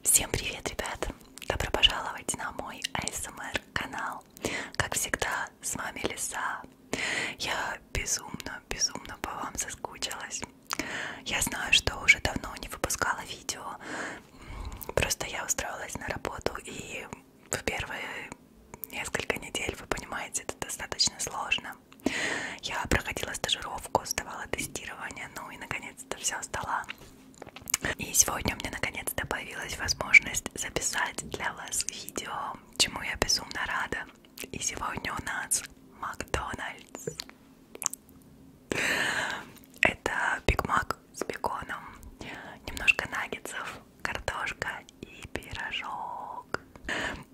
Всем привет, ребят! Добро пожаловать на мой ASMR эм канал. Как всегда, с вами Лиса. Я безумно, безумно по вам соскучилась. Я знаю, что уже давно не выпускала видео. Просто я устроилась на работу и в первые несколько недель, вы понимаете, это достаточно сложно. Я проходила стажировку, сдавала тестирование, ну и наконец-то все сдала. И сегодня у меня наконец-то появилась возможность записать для вас видео, чему я безумно рада. И сегодня у нас Макдональдс. Это Биг Мак с беконом, немножко наггетсов, картошка и пирожок.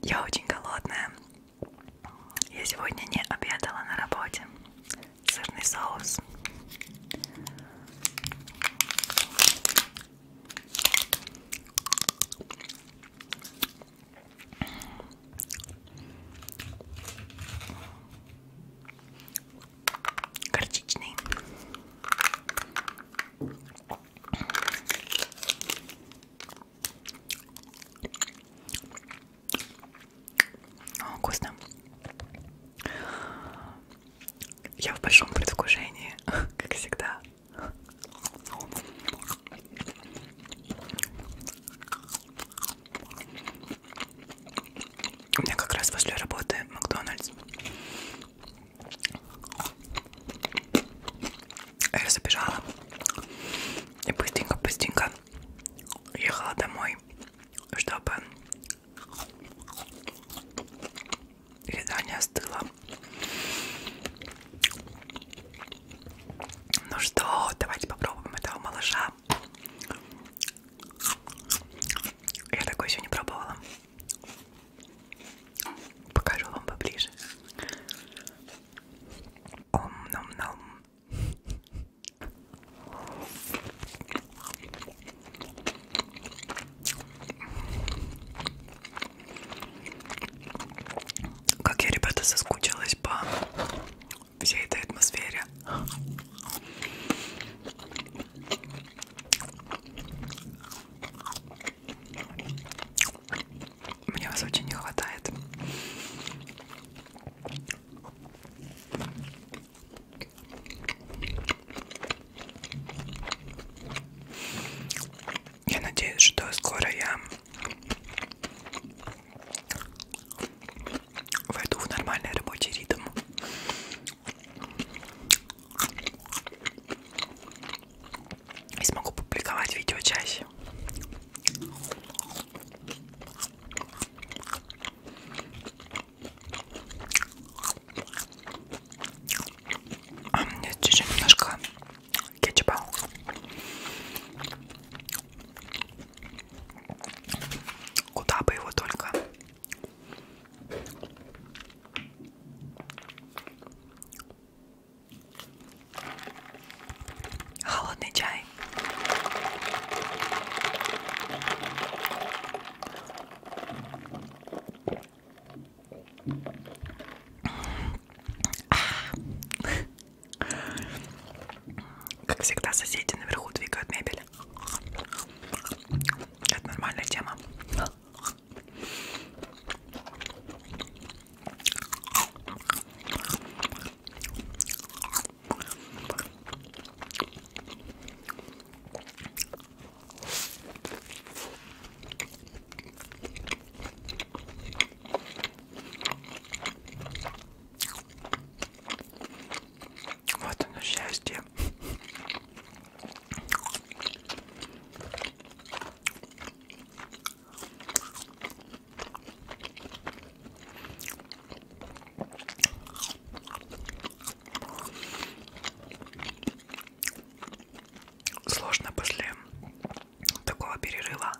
Я очень голодная. Я сегодня не обедала на работе сырный соус. Горчичный. О, вкусно. Я в большом предвкушении, как всегда. У меня как раз после работы Макдональдс. Я забежала и быстренько-быстренько ехала домой чтобы еда не остыла. Ну что, давайте попробуем этого малыша. Я такой еще не пробовала. Покажу вам поближе. Ом-ном-ном. Как я, ребята, соскучилась по всей этой атмосфере. Мне вас очень не хватает. Я надеюсь, что скоро я войду в нормальный рабочий ритм. И смогу публиковать видео чаще. А мне чуть-чуть немножко кетчупа. Куда бы его только. Холодный чай мной. Как всегда, соседи наверху двигают мебель. Это нормальная тема. Вот оно счастье. Сложно после такого перерыва,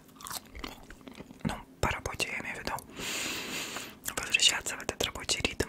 ну, по работе я имею в виду, возвращаться в этот рабочий ритм.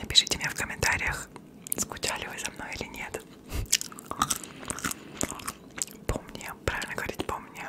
Напишите мне в комментариях, скучали вы за мной или нет. Помни, правильно говорить, помни.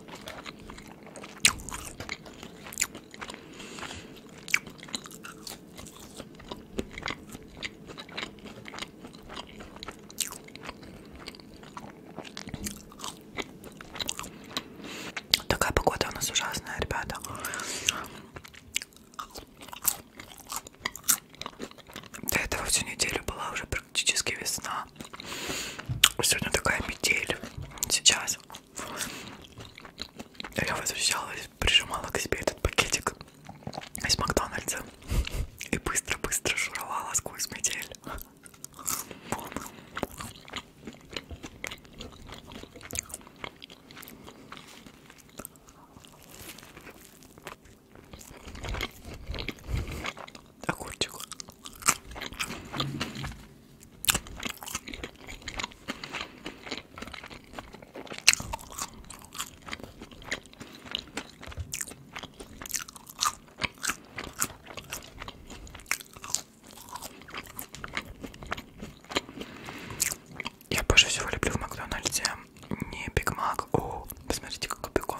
Такая погода у нас ужасная, ребята. До этого всю неделю была уже практически весна дела. Сегодня такая метель. Сейчас я возвращалась, прижимала к себе этот пакетик из Макдональдса и быстро-быстро шуровала сквозь метель огурчик. Я больше всего люблю в Макдональдсе не Биг Мак. О, посмотрите, какой бекон.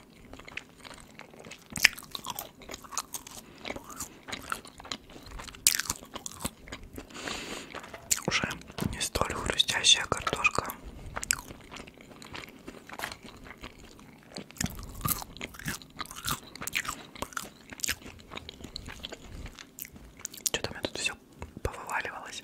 Уже не столь хрустящая картошка. Что-то у меня тут все повываливалось.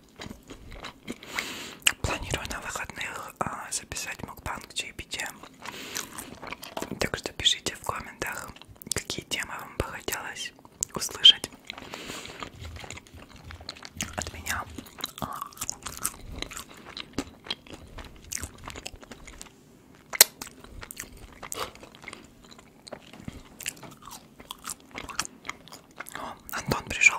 Планирую на выходных а, записать мукбанг чаепития. Так что пишите в комментах, какие темы вам бы хотелось услышать от меня. О, Антон пришел.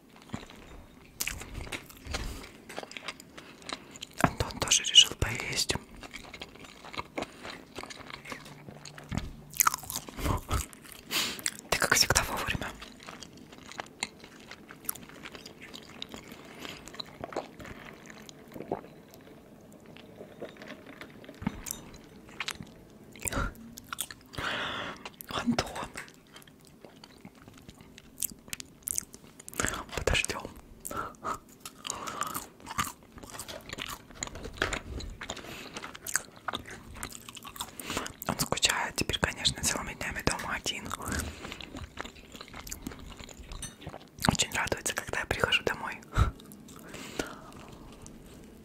Антон тоже решил поесть. Ты как всегда вовремя. Антон, Подождем. Он скучает теперь, конечно, целыми днями дома один. Очень радуется, когда я прихожу домой.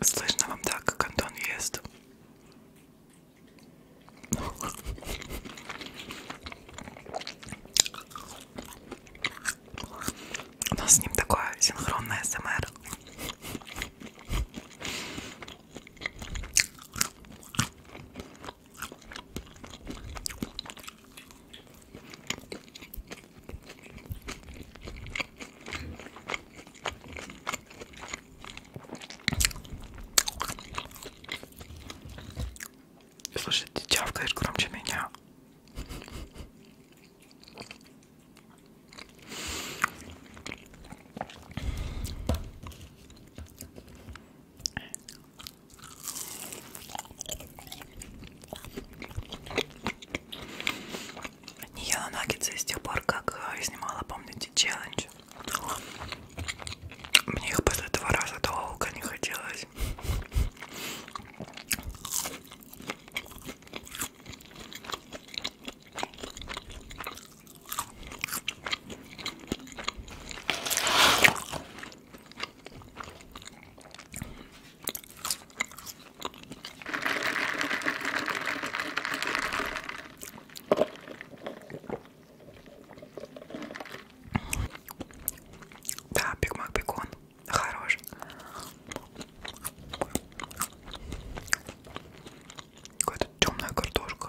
Слышно вам так, как Антон ест? У нас с ним такое синхронное СМР. Слушай, ты чавкаешь громче меня. Не ела наггетсы с тех пор, как э, снимала, помните, челлендж. Мне их после этого раза долго не хотелось. Да, бигмак бекон хорош. Какая-то темная картошка.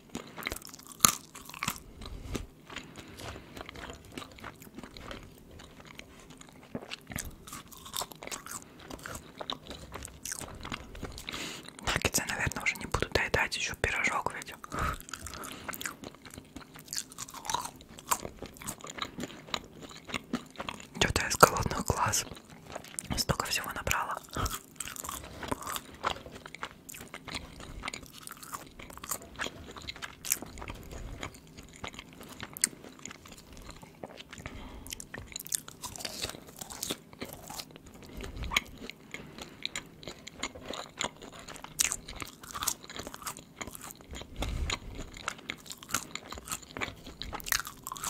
Наггетсы, наверное, уже не буду доедать, еще пирожок ведь. Что-то из голодных глаз. Столько всего набрала.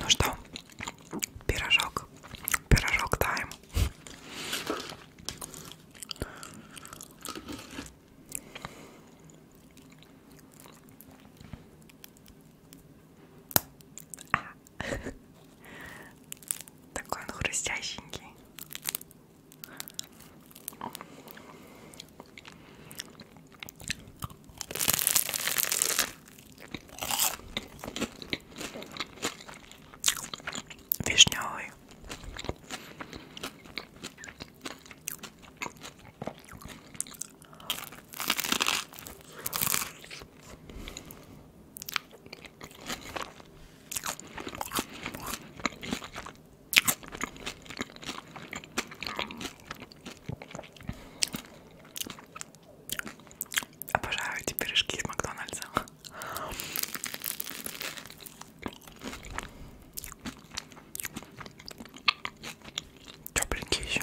Ну что, пирожок, пирожок тайм. Такой он хрустященький. Вишневый. Обожаю эти пирожки из Макдональдса. Тепленькие еще.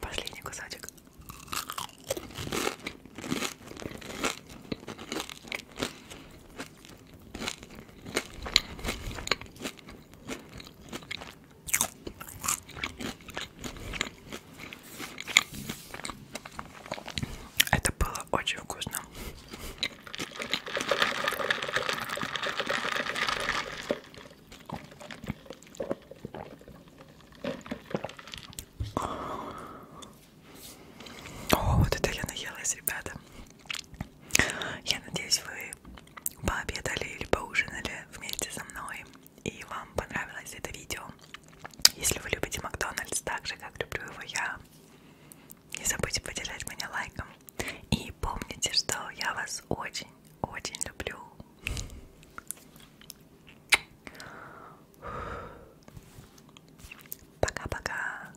Последний кусочек. Это было очень вкусно. О, вот это я наелась, ребята. Я надеюсь, вы пообедали или поужинали вместе со мной и вам понравилось это видео. Если вы любите Макдональдс так же, как люблю его я, не забудьте поддержать меня лайком. И помните, что я вас очень-очень люблю. Пока-пока.